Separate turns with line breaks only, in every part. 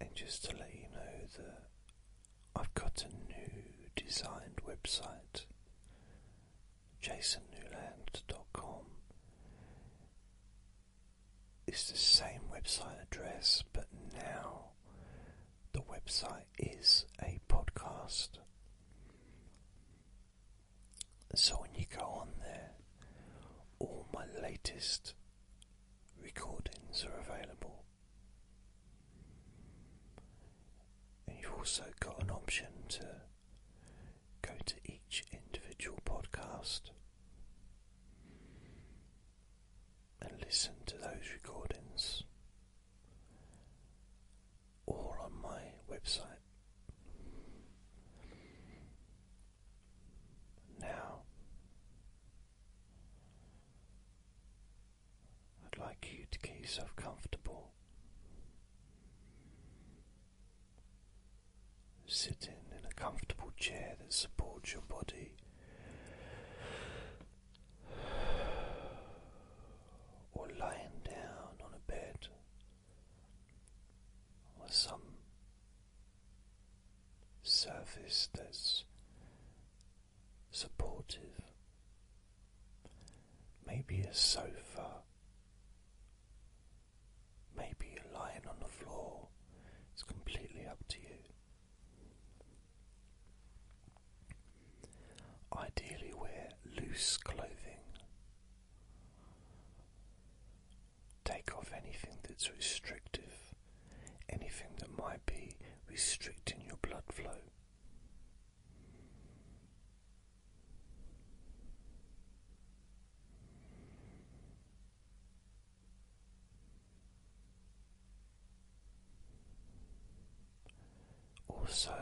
And just to let you know that I've got a new designed website, jasonnewland.com. It's the same website address, but now the website is a podcast. So when you go on there, all my latest recordings are available. And you've also got an option to go to each individual podcast and listen to those recordings or on my website. Now, I'd like you to get yourself comfortable. Sitting in a comfortable chair that supports your body, or lying down on a bed or some surface that's supportive, maybe a sofa, maybe you're lying on the floor, it's completely up to you. Ideally, wear loose clothing Take off anything that's restrictive, anything that might be restricting your blood flow. Also,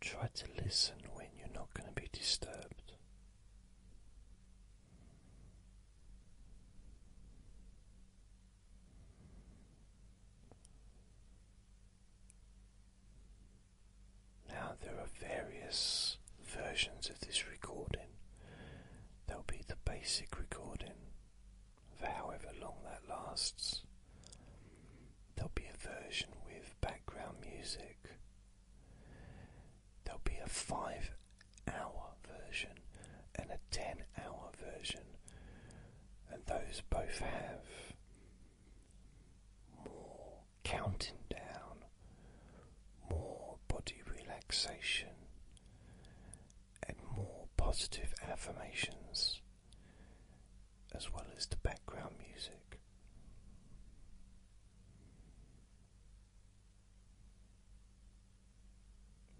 Try to listen when you're not going to be disturbed. Now, there are various versions of this recording. There'll be the basic recording, for however long that lasts. There'll be a version with background music. There'll be a five hour version and a ten hour version, and those both have more counting down, more body relaxation, and more positive affirmations as well as the background music.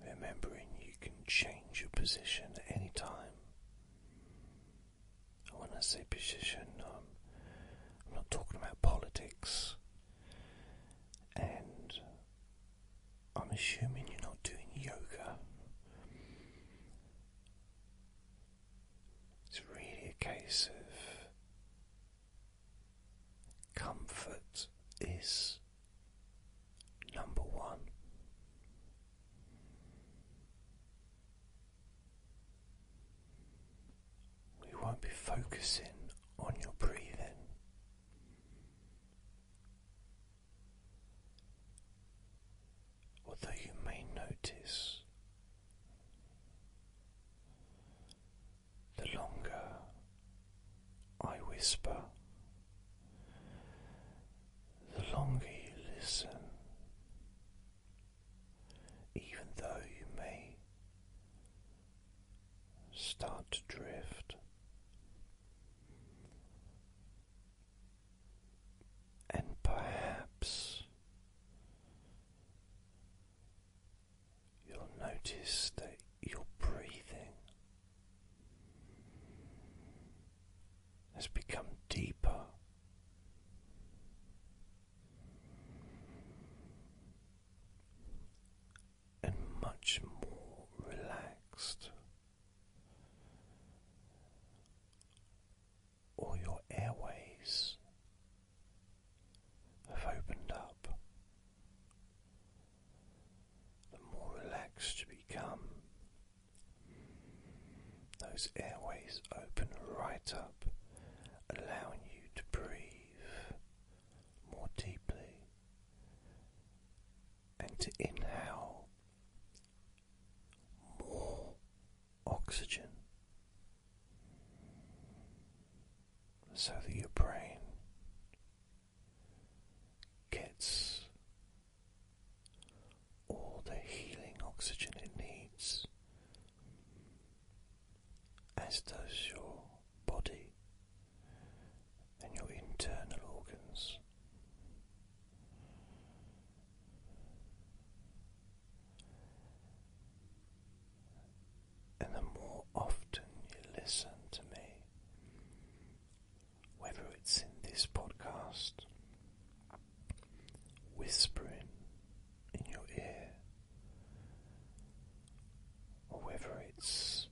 Remembering you can change your position at any time. When I say position, um, I'm not talking about politics. And I'm assuming you're not doing yoga. It's really a case of comfort is number one. We won't be focusing on your breathing although you may notice the longer I whisper, the longer you listen, even though you may start to drift and perhaps you'll notice that your breathing has become deeper. And much more relaxed. All your airways have opened up. The more relaxed you become, those airways open right up, allowing you to breathe more deeply and to inhale more oxygen so that your brain gets all the healing oxygen it needs, as does your body and your internal organs. And the more often you listen to me, whether it's in this podcast, whispering in your ear, or whether it's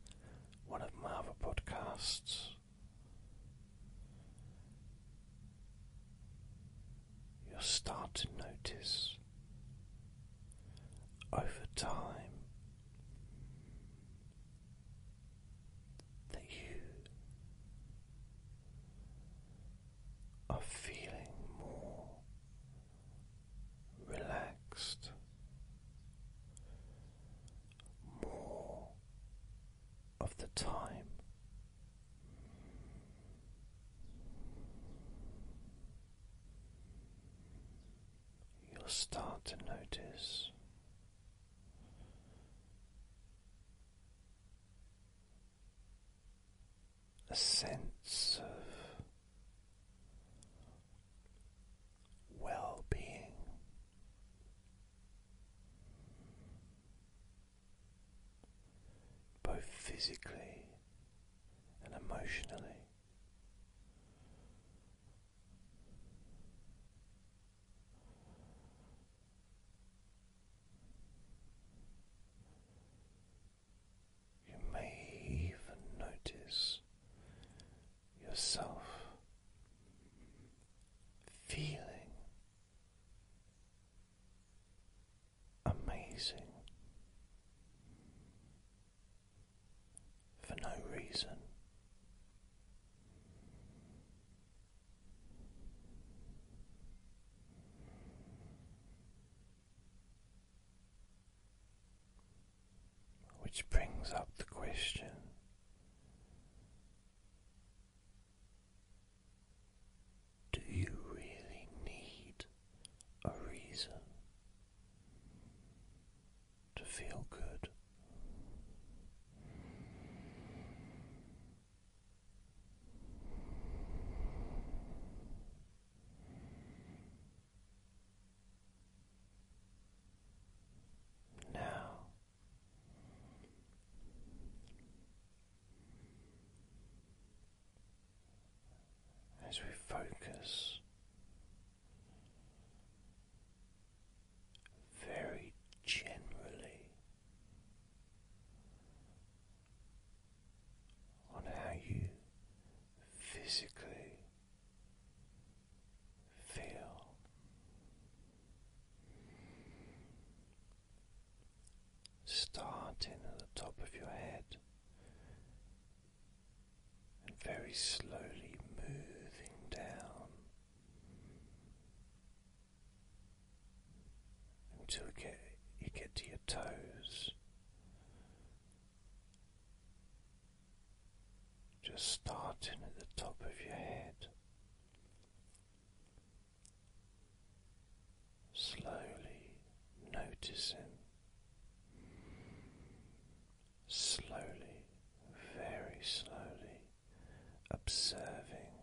one of my other podcasts, You'll start to notice over time that you are feeling more relaxed, more of the time. You'll start to notice a sense of well being both physically and emotionally. You may even notice yourself feeling amazing for no reason. Which brings up the question do you really need a reason to feel good? Now as we focus very generally on how you physically feel starting at the top of your head and very slowly moving down until you get, to your toes. Just starting at the top of your head, slowly noticing, slowly, very slowly observing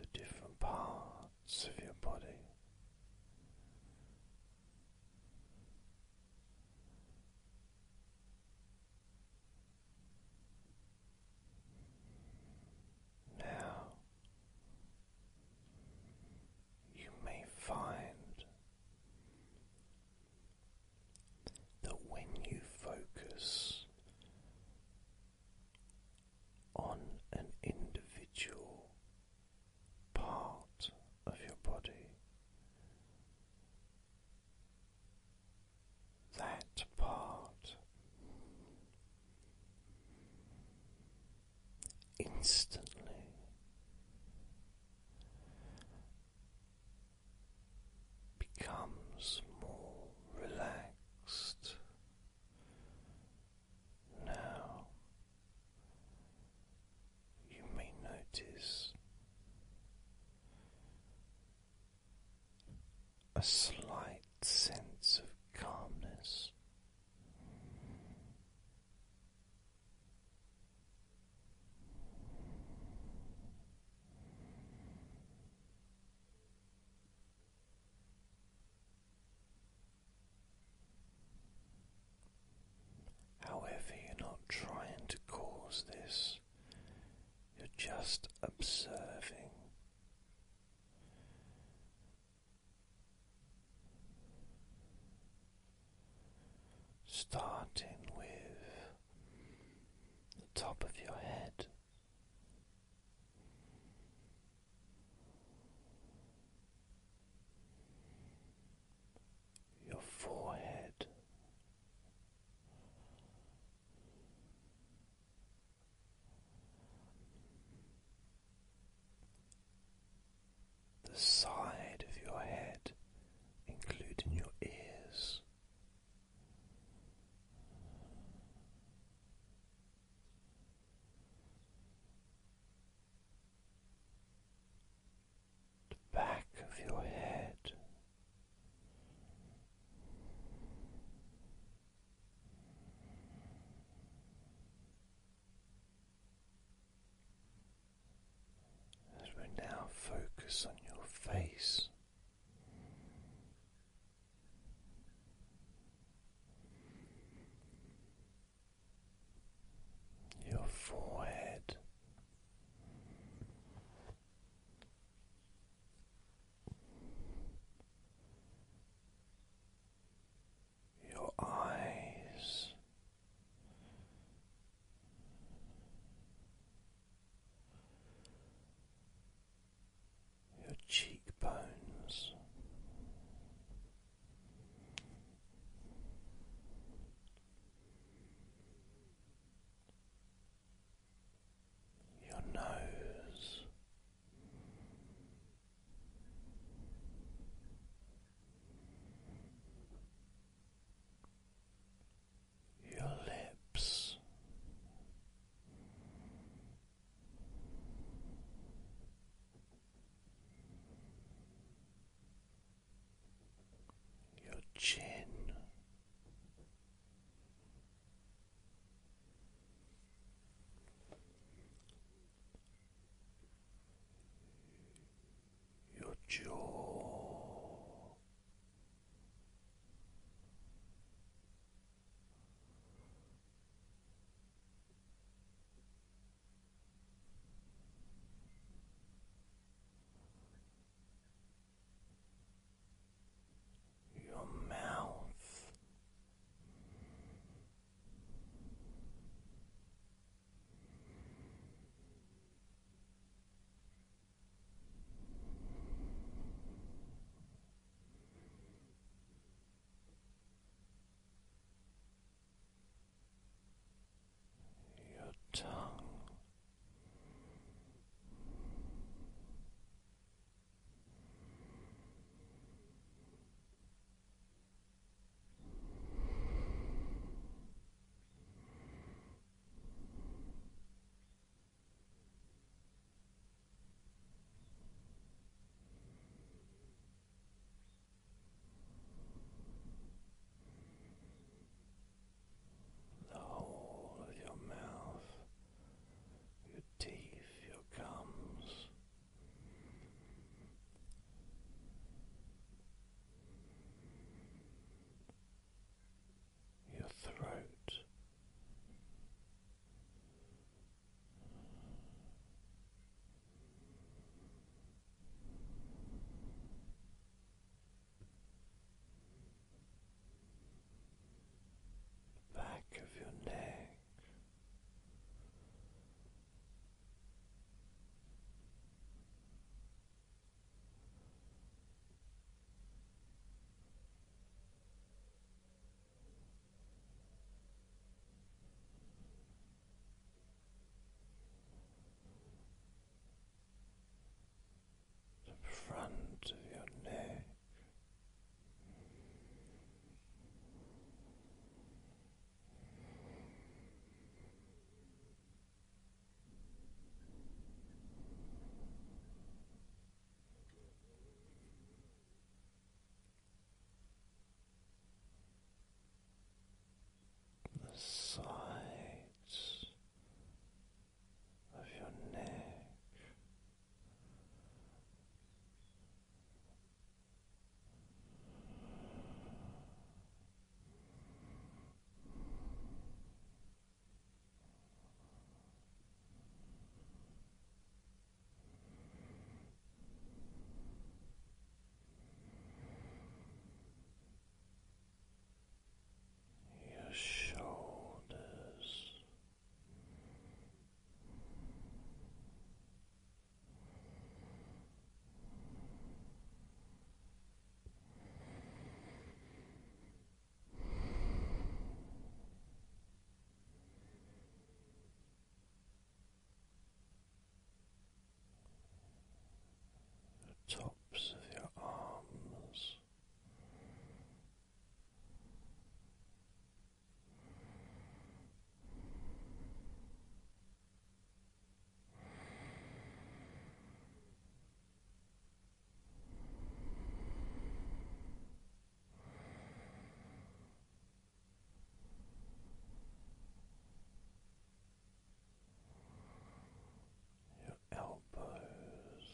the different parts of your body. Now you may find that when you focus on an individual part of your body. That part instantly becomes more relaxed now you may notice a slight sense of calmness. However, you're not trying to cause this, you're just observing. Starting with the top of your head your forehead. The side of your head, including your ears, the back of your head. As we now focus on your face, your forehead. Your eyes, your cheekbones, your nose. Your lips, your chin. Your jaw, your mouth, your tongue the whole of your mouth, your teeth, your gums. Your throat, back of your neck the front of your neck the sides of your neck your shoulders the tops of your arms your elbows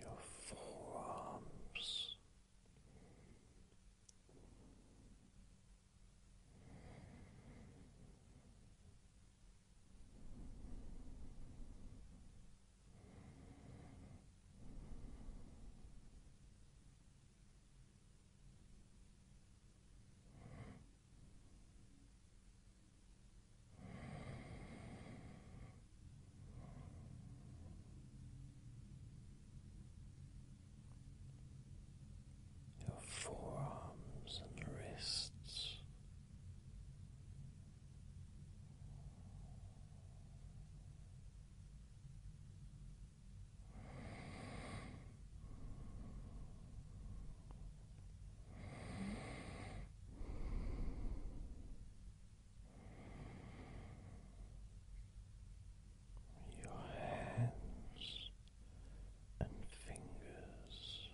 your forearms. Your forearms and wrists, your hands and fingers.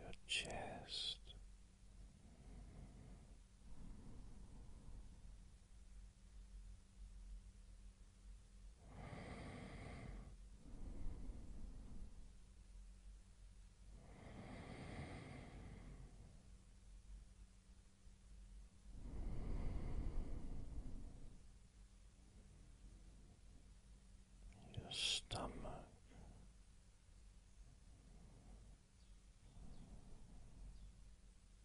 Your chest. Your stomach.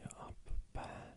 your upper back.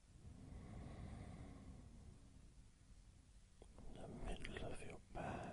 the middle of your back.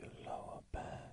your lower back.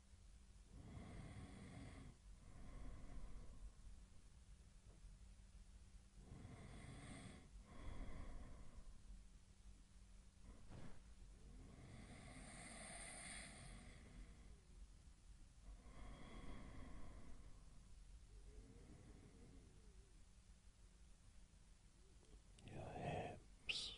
Your hips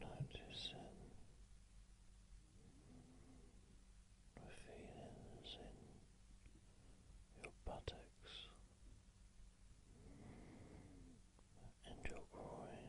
noticing the feelings in your buttocks and your groin.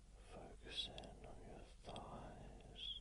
focusing on your thighs.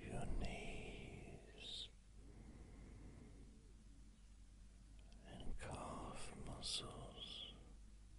Your knees and calf muscles.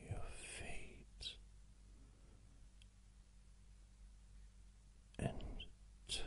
Your feet and toes.